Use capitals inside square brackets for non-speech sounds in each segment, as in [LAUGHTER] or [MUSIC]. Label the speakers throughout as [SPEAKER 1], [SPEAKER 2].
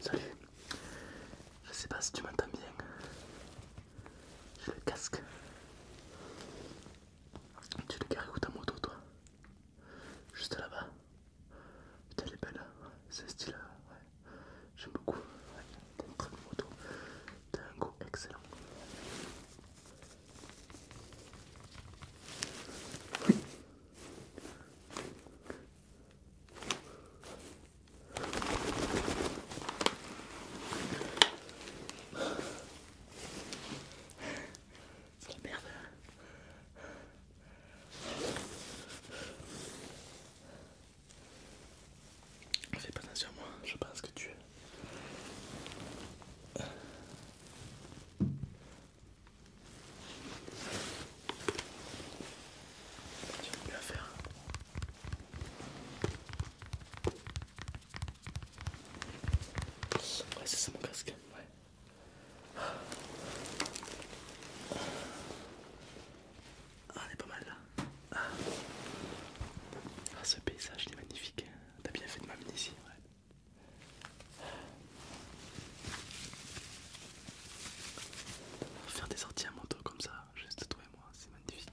[SPEAKER 1] Salut, je sais pas si tu m'entends bien. J'ai le casque. Tu l'as carré ou ta moto toi Juste là-bas. Putain elle est belle, hein. c'est stylé, hein, J'aime beaucoup. T'es T'as une très bonne moto. T'as un goût excellent. C'est la merde. Fais pas attention à moi, je pense que tu es. J'ai plus à faire. Ouais, c'est mon casque. Ouais. Ah, on est pas mal là. Ah. Ah, ce paysage il est magnifique. T'as bien fait de m'amener ici. Faire des sorties à moto comme ça, juste toi et moi, c'est magnifique.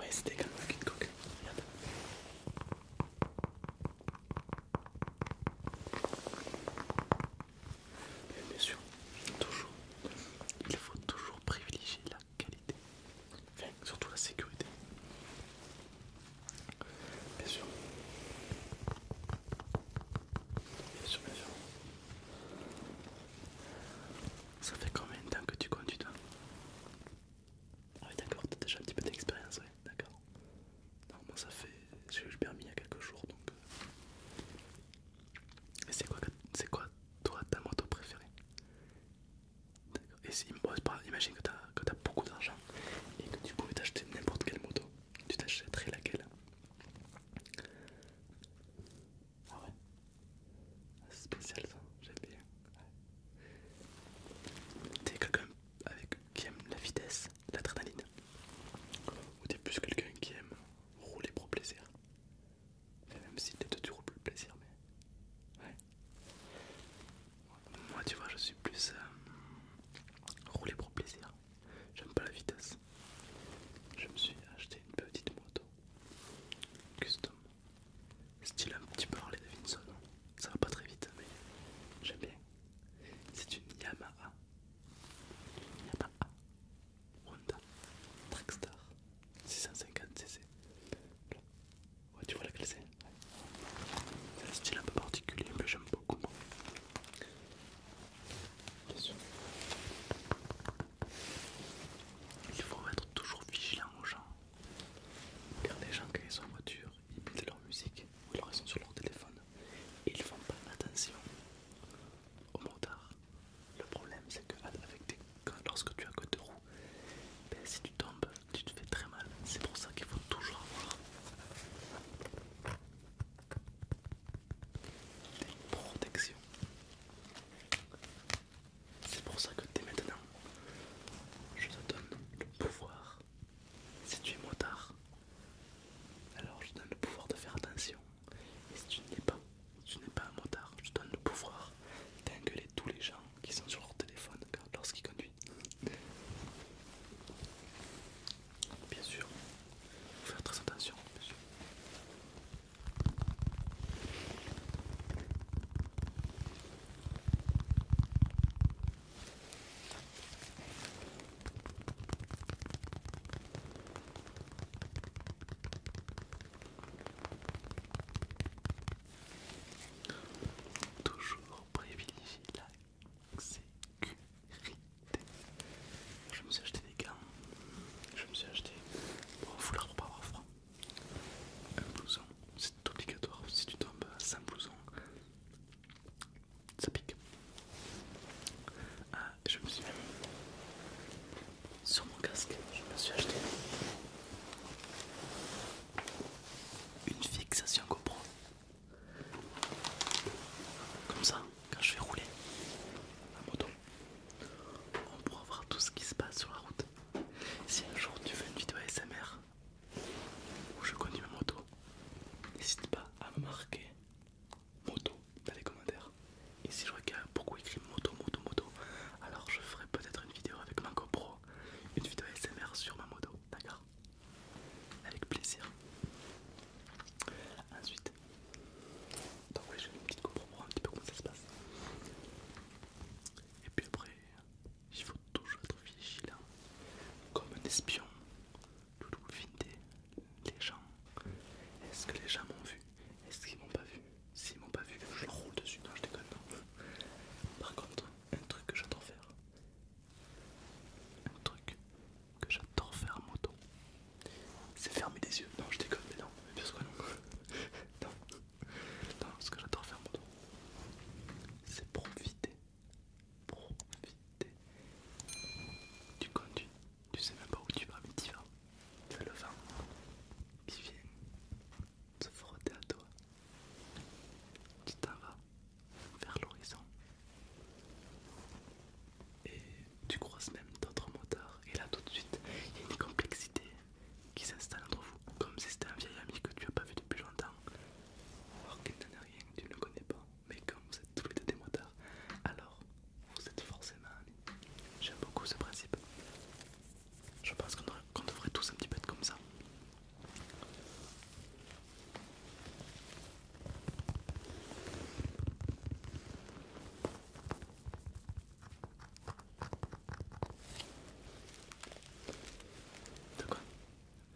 [SPEAKER 1] oui c'était quand un kit Cook. bien sûr, toujours, il faut toujours privilégier la qualité, enfin, surtout la sécurité. Bien sûr. Bien sûr, bien sûr. Ça fait combien de temps que tu conduis toi Ah oui d'accord, t'as déjà un petit peu d'expérience, ouais, d'accord. Non, moi ça fait... j'ai eu permis il y a quelques jours donc... Euh. Et c'est quoi, quoi toi ta moto préférée D'accord, et si, imagine que t'as que beaucoup d'argent et que tu pouvais t'acheter n'importe quelle moto, tu t'achèterais laquelle ah ouais ah, C'est spécial ça, j'aime bien. T'es quelqu'un qui aime la vitesse, l'adrénaline Ou t'es plus quelqu'un qui aime rouler pour plaisir Même si t'es tu roules plus le plaisir, mais... Ouais. Moi tu vois, je suis plus... Euh, rouler pour plaisir. J'aime pas la vitesse. Je me suis acheté une petite moto Custom. Style un petit peu Harley Davidson. Ça va pas très vite, mais j'aime bien. C'est une Yamaha. Yamaha. Honda. Trackstar. 650cc. tu vois la c'est C'est un style un peu particulier, mais j'aime beaucoup. Il faut être toujours vigilant aux gens. Car les gens qui sont en voiture, ils mettent leur musique ou ils sont sur leur téléphone et ils font pas attention au motard. Le problème c'est que avec lorsque tu as que deux roues, ben, si tu tombes, tu te fais très mal. C'est pour ça qu'il faut toujours avoir des protections. C'est pour ça que dès maintenant, je te donne le pouvoir. Si tu es motard, alors je te donne le pouvoir de faire attention. Et si tu n'es pas, tu n'es pas un motard, je te donne le pouvoir d'engueuler tous les gens qui sont sur leur téléphone lorsqu'ils conduisent. Bien sûr, faut faire très attention. Bien Toujours privilégier la je me suis acheté des gants, je me suis acheté un foulard pour pas avoir froid, un blouson, c'est obligatoire, si tu tombes sans blouson, ça pique. Ah, je me suis même sur mon casque, je me suis acheté une fixation GoPro. Comme ça, quand je vais rouler à moto, on pourra voir tout ce qui se passe sur la route. Si un jour tu veux une vidéo ASMR où je conduis ma moto, n'hésite pas à marquer moto dans les commentaires. Et si je a beaucoup écrit moto, moto, moto, alors je ferai peut-être une vidéo avec ma GoPro, une vidéo ASMR sur ma moto, d'accord Avec plaisir. Ensuite, donc oui, j'ai une petite compréhension pour un petit peu comment ça se passe. Et puis après, il faut toujours être vigilant, comme un espion, tout les gens. Est-ce que les gens m'ont vu Est-ce qu'ils m'ont pas vu S'ils m'ont pas vu, je roule dessus. Non, je déconne. Par contre, un truc que j'adore faire, un truc que j'adore faire moto, c'est fermer les yeux. Non, je déconne, mais non, mais bien sûr que non. [LAUGHS] non. non, ce que j'adore faire moto, c'est profiter, profiter. Tu conduis, tu sais même pas où tu vas, mais tu vas. Tu fais le vent qui vient se frotter à toi. Tu t'en vas vers l'horizon. Et tu croises même d'autres moteurs Et là, tout de suite, il y a une complexité qui s'installe entre vous. Comme si c'était un vieil ami que tu n'as pas vu depuis longtemps. Alors qu'il n'en est rien, tu ne le connais pas. Mais comme vous êtes tous les deux des moteurs, alors vous êtes forcément amis. J'aime beaucoup ce principe. Je pense qu'on devrait tous un petit peu être comme ça.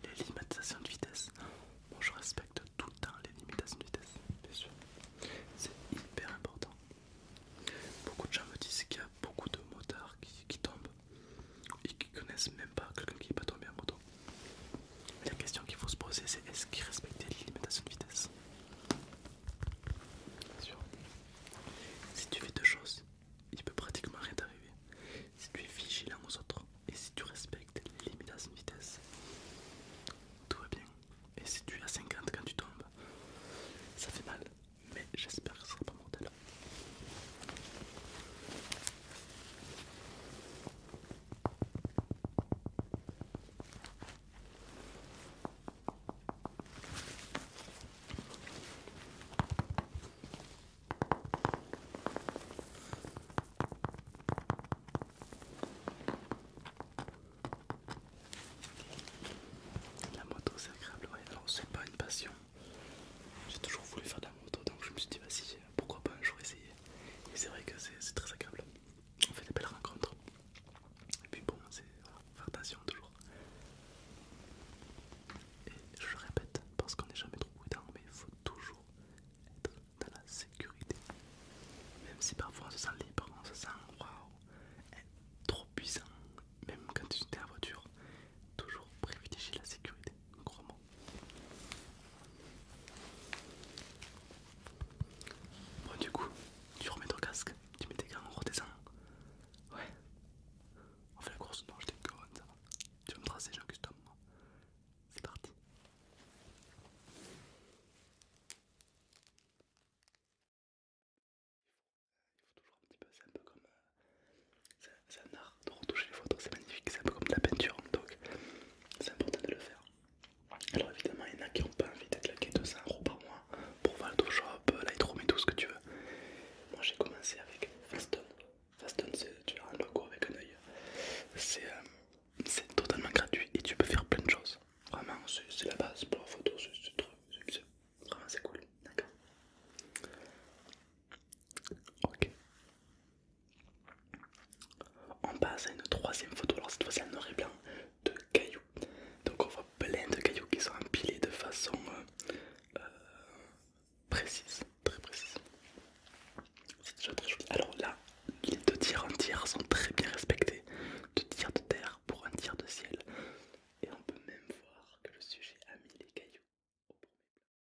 [SPEAKER 1] Les limitations de vitesse. Moi je respecte tout le hein, temps les limitations de vitesse, bien sûr. C'est hyper important. Beaucoup de gens me disent qu'il y a beaucoup de motards qui, tombent et qui connaissent même pas quelqu'un qui n'est pas tombé en moto la question qu'il faut se poser, c'est est-ce qu'il respectait les de vitesse Bien sûr. Si tu fais deux choses, il peut pratiquement rien t'arriver. Si tu es vigilant aux autres et si tu respectes les de vitesse, tout va bien. Et si tu es à 50 quand tu tombes, ça fait mal, mais j'espère que ce sera pas mortel. La moto c'est agréable, c'est pas une passion. J'ai toujours voulu faire de la moto donc je me suis dit, vas-y, pourquoi pas un jour essayer. Et c'est vrai que c'est très agréable. On fait des belles rencontres. Et puis bon, c'est faire attention toujours. Et je le répète, parce qu'on n'est jamais trop prudent, mais il faut toujours être dans la sécurité. Même si parfois on se sent libre, on se sent waouh, trop puissant. Même quand tu es en voiture, toujours privilégier la sécurité, crois-moi. Bon du coup, tu remets ton casque, tu mets tes gants en redescend. Ouais. On fait la course, non j'étais conne, ça va. Tu vas me tracer, je custom C'est parti. Euh, un peu, c'est un peu comme... Euh, c'est un art de retoucher les photos, c'est magnifique, c'est un peu comme de la peinture, donc c'est important de le faire. Alors évidemment, il y en a qui n'ont pas envie d'être laqués 200 euros par mois pour Photoshop, euh, Lightroom et tout ce que tu veux. Moi j'ai commencé avec Faston. Faston, tu as un logo avec un œil. Euh, c'est totalement gratuit et tu peux faire plein de choses. Vraiment, c'est la base pour la photo, c'est c'est vraiment c'est cool, d'accord Ok, on passe à une troisième photo, alors cette fois-ci en noir et de cailloux. Donc on voit plein de cailloux qui sont empilés de façon euh, euh, précise, très précise. C'est déjà très joli. Alors là, les deux tiers en sont très bien respectés. Deux tiers de terre pour un tir de ciel. Et on peut même voir que le sujet a mis les cailloux au